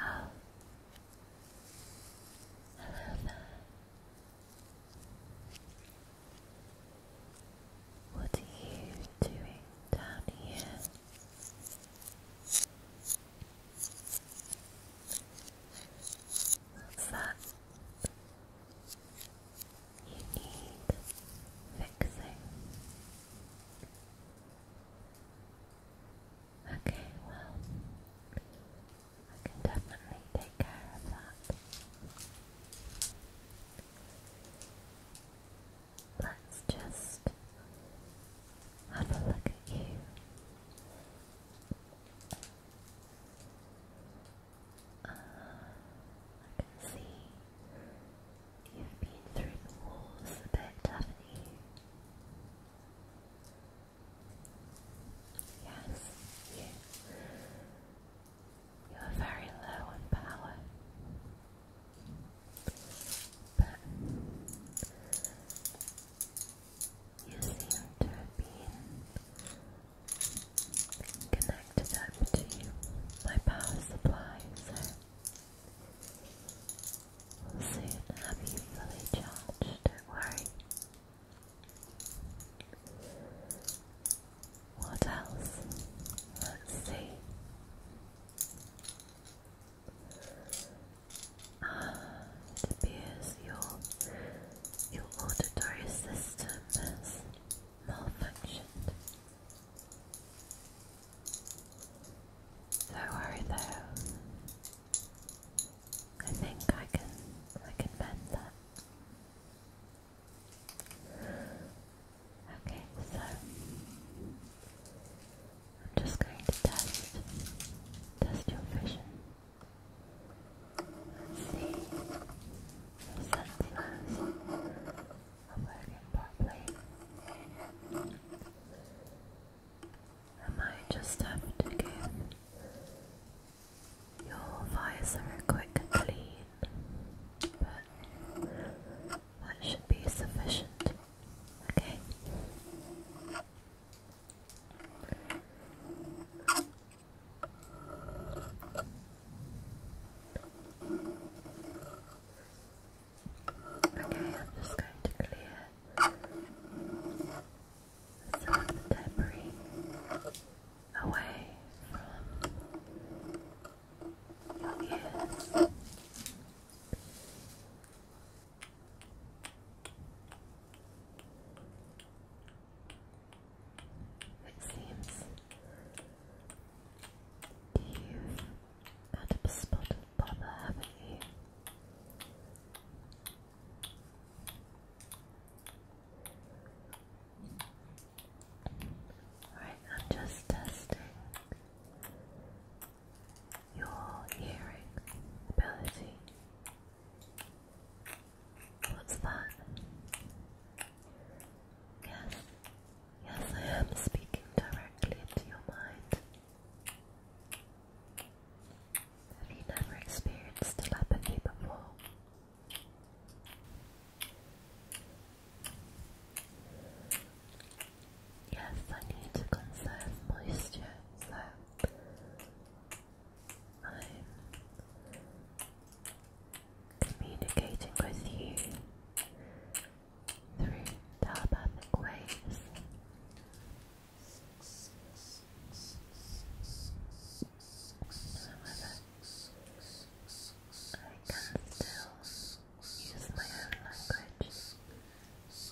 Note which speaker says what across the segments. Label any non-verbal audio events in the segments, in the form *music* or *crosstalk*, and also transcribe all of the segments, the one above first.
Speaker 1: Oh, I What are you doing down here? that you need fixing. Okay, well, I can definitely take care of that let's just have a look at you. Ah, I can see you've been through the walls a bit, have Yes, you. You're very low on power. But you seem to have been connected up to my power supply, so soon have you fully charged, don't worry. What else? Let's see. *sighs* it appears your, your auditory system has malfunctioned. Don't worry though. I think I can I can bend that. Okay, so I'm just going to test, test your vision. Let's see your senses are working properly. I just have to give your visor a quick clean, but that should be sufficient. Okay. Okay, I'm just going to clear some debris away from your ears. It seems you've a spot of bother, haven't you? Right, I'm just testing your hearing ability. What's that? Yes, yes, I am speaking directly into your mind. Have you never experienced telepathy before? Yes, I need to conserve moisture, so I'm communicating with you through telepathic waves. I can still use my own language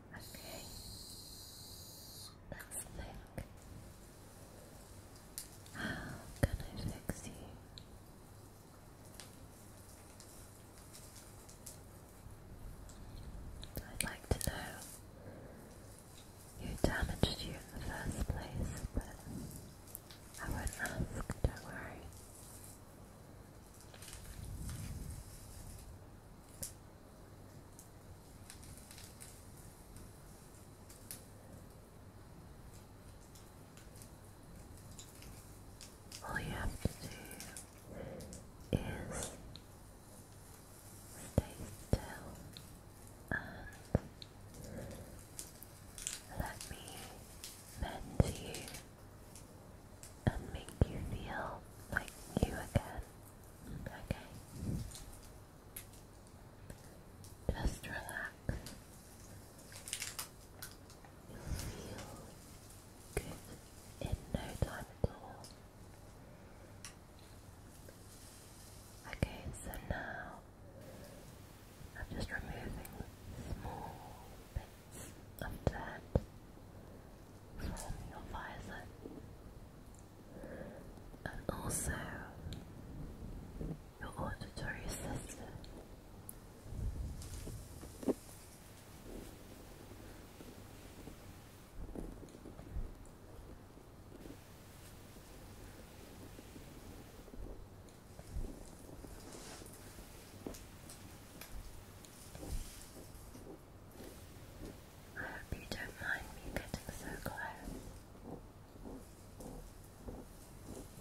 Speaker 1: Okay. Let's How can I fix you? I'd like to know who damaged you in the first place, but I won't ask, don't worry. All you have to do is stay still and let me mend you and make you feel like you again. Okay. Just relax. You'll feel good in no time at all. Okay, so now I'm just removing small bits of dirt from your visor and also your auditory system. I hope you don't mind me getting so close.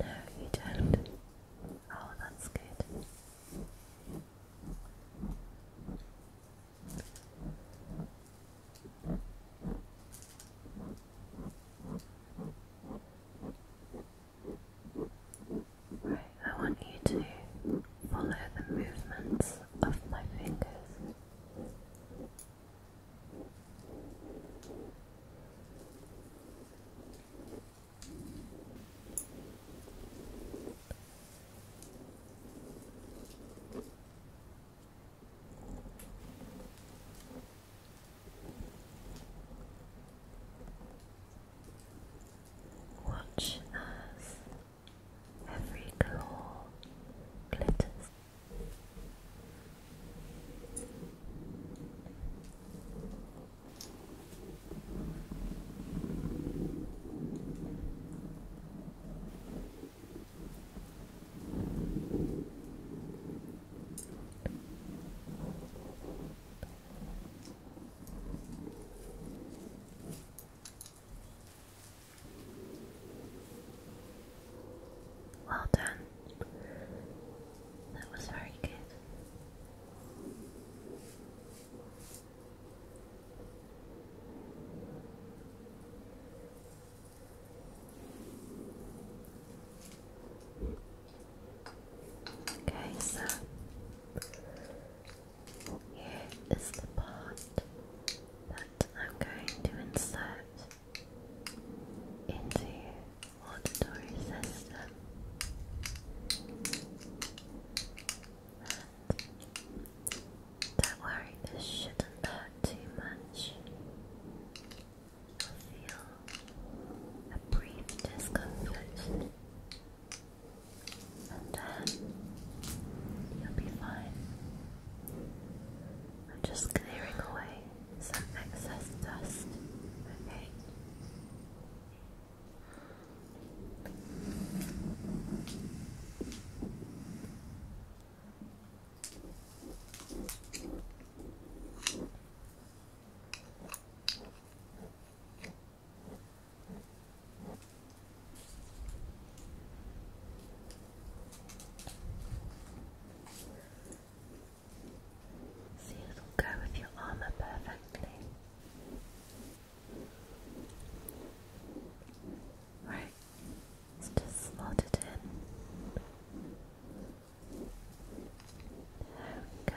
Speaker 1: No, you don't. Oh, that's good. Right, I want you to follow the movements of my fingers. Watch us Every claw glitters. Well done. That was very good. Okay, so here is the part that I'm going to insert into auditory system and don't worry this shouldn't hurt too much you'll feel a brief discomfort and then uh, you'll be fine I'm just clearing away some excess dust, okay? See, it'll go with your armor perfectly. Right, let's just slot it in. There we go.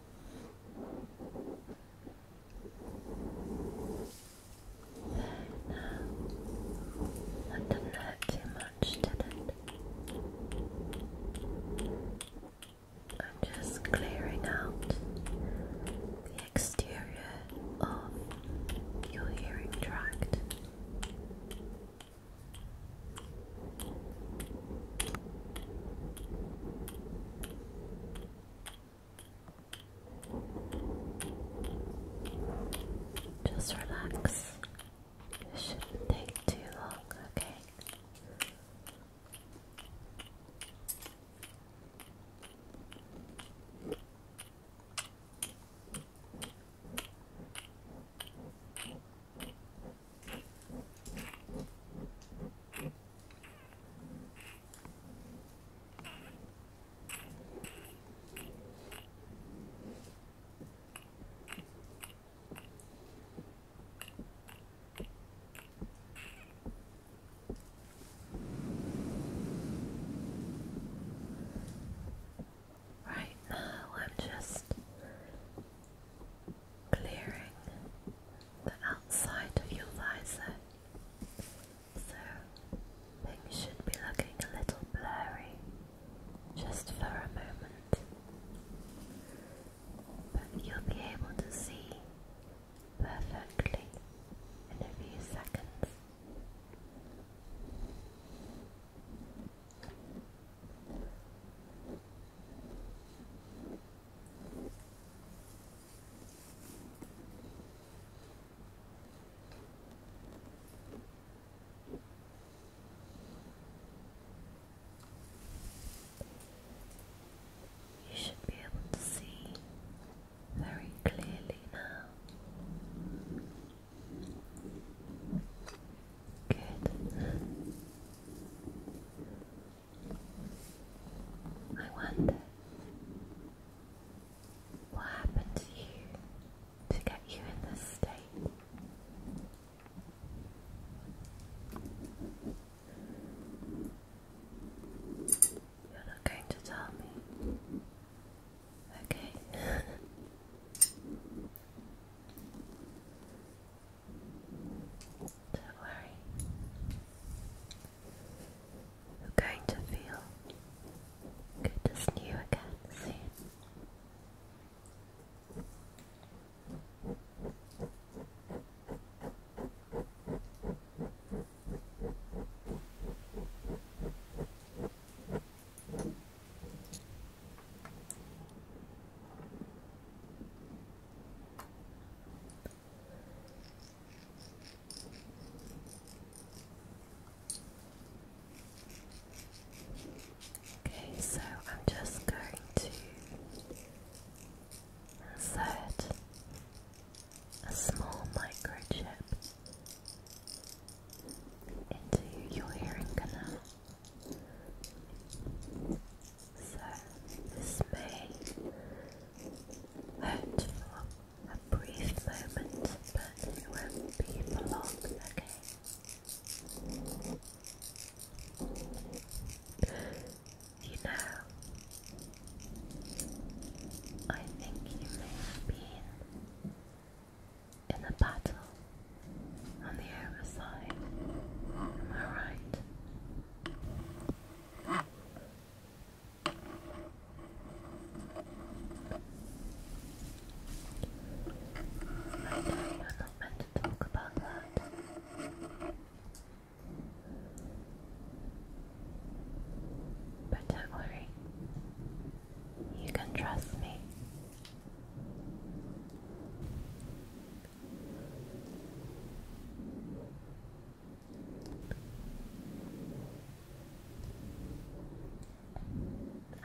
Speaker 1: There now. not hurt too much, did it? I'm just clearing out the exterior of your hearing tract. Just relax. It shouldn't take too long, okay? Right now, uh, i just clearing the outside of your visor. So things should be looking a little blurry just for a moment. But you'll be able to see perfectly in a few seconds. You should be able to see very clearly now. Good. I wonder what happened to you to get you in this state. You're not going to tell me. Okay. *laughs* Don't worry. You're going to feel good as new again soon. Okay, so I'm just going to insert a small microchip into your hearing canal. So this may hurt for a brief moment, but it won't be for long, okay? You know, I think you may have been in a battle on the other side. Am I right? I know you're not meant to talk about that. But don't worry, you can trust me.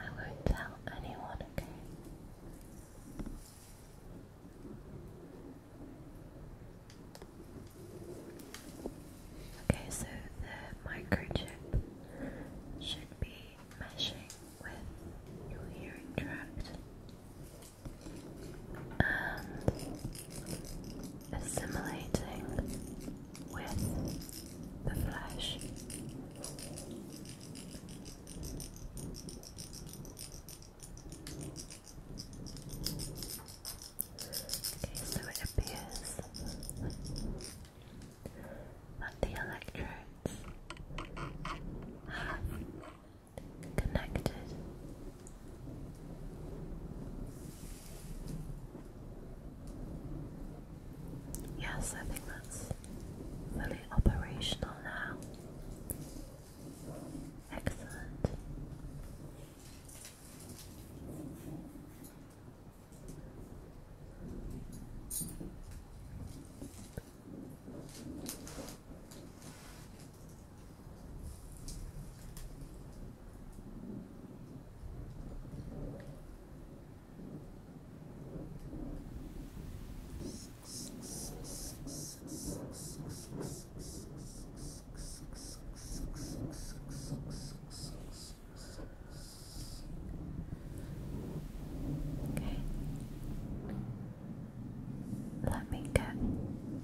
Speaker 1: I won't tell anyone, okay? Okay, so the microchip should be meshing with your hearing tract and um, assimilating with the flesh. Okay, so it appears that the electrodes have connected. Yes, I think that's fully operational now. Excellent. Okay. Let me get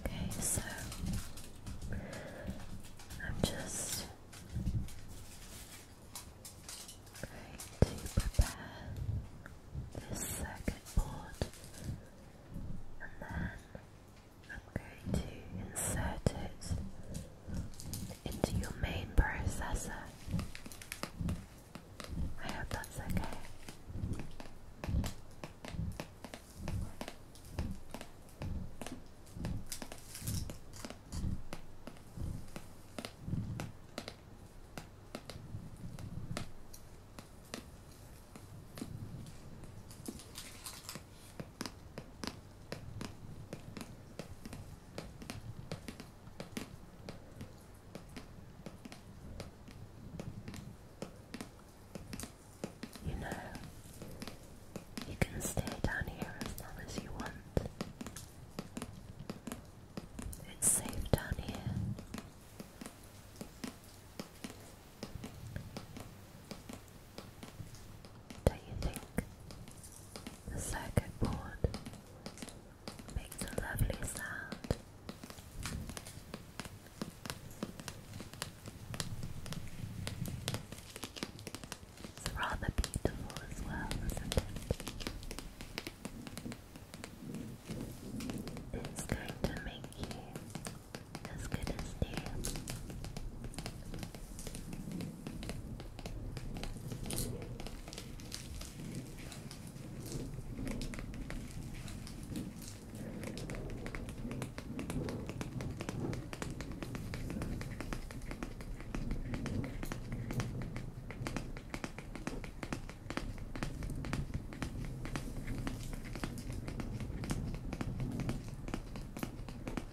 Speaker 1: Okay, so I'm just going to prepare this circuit board and then I'm going to insert it into your main processor. I hope that's okay. You know, you can stay down here as long as you want. It's safe down here. Do you think the circuit board makes a lovely sound? It's rather beautiful as well, isn't it? It's going to make you as good as new.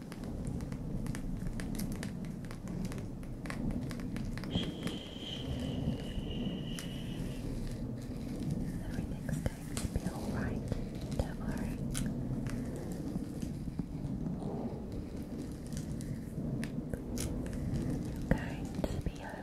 Speaker 1: Everything's going to be alright, don't worry. You're going to be okay.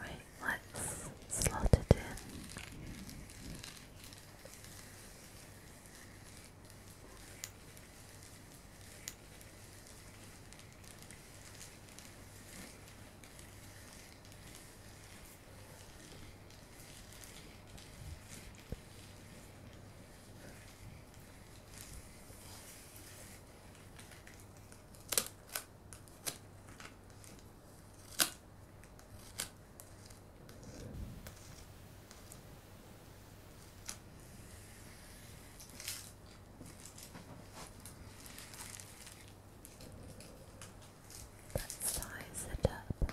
Speaker 1: Right, let's slot it in. Let's size it up.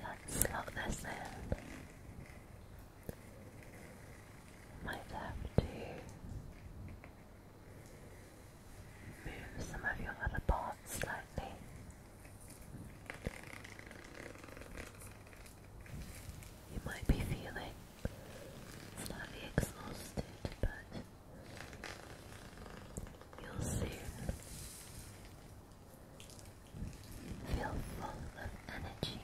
Speaker 1: Let's lock this in. Might have to move some of your other parts slightly. You might be feeling it's slightly exhausted, but you'll soon feel full of energy.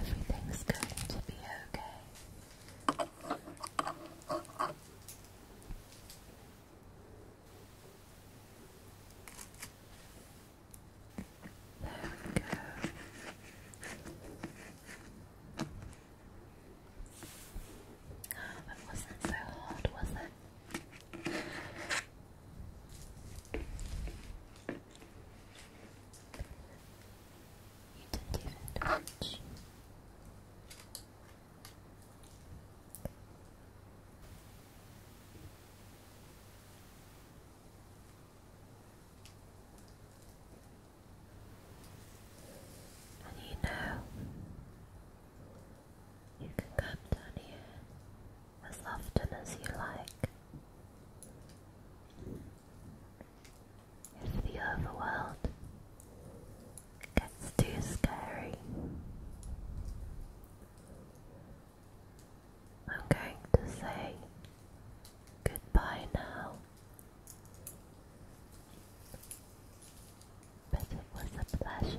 Speaker 1: Everything's going to be okay. There we go. that wasn't so hard, was it? You didn't even touch. And you know you can come down here as often as you like. If the overworld gets too scary, I'm going to say goodbye now. But it was a pleasure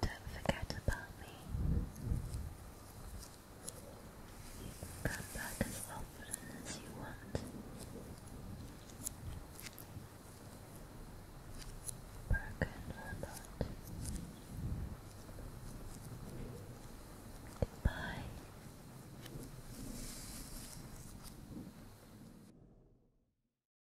Speaker 1: But don't forget about me. You come back as often as you want. Goodbye.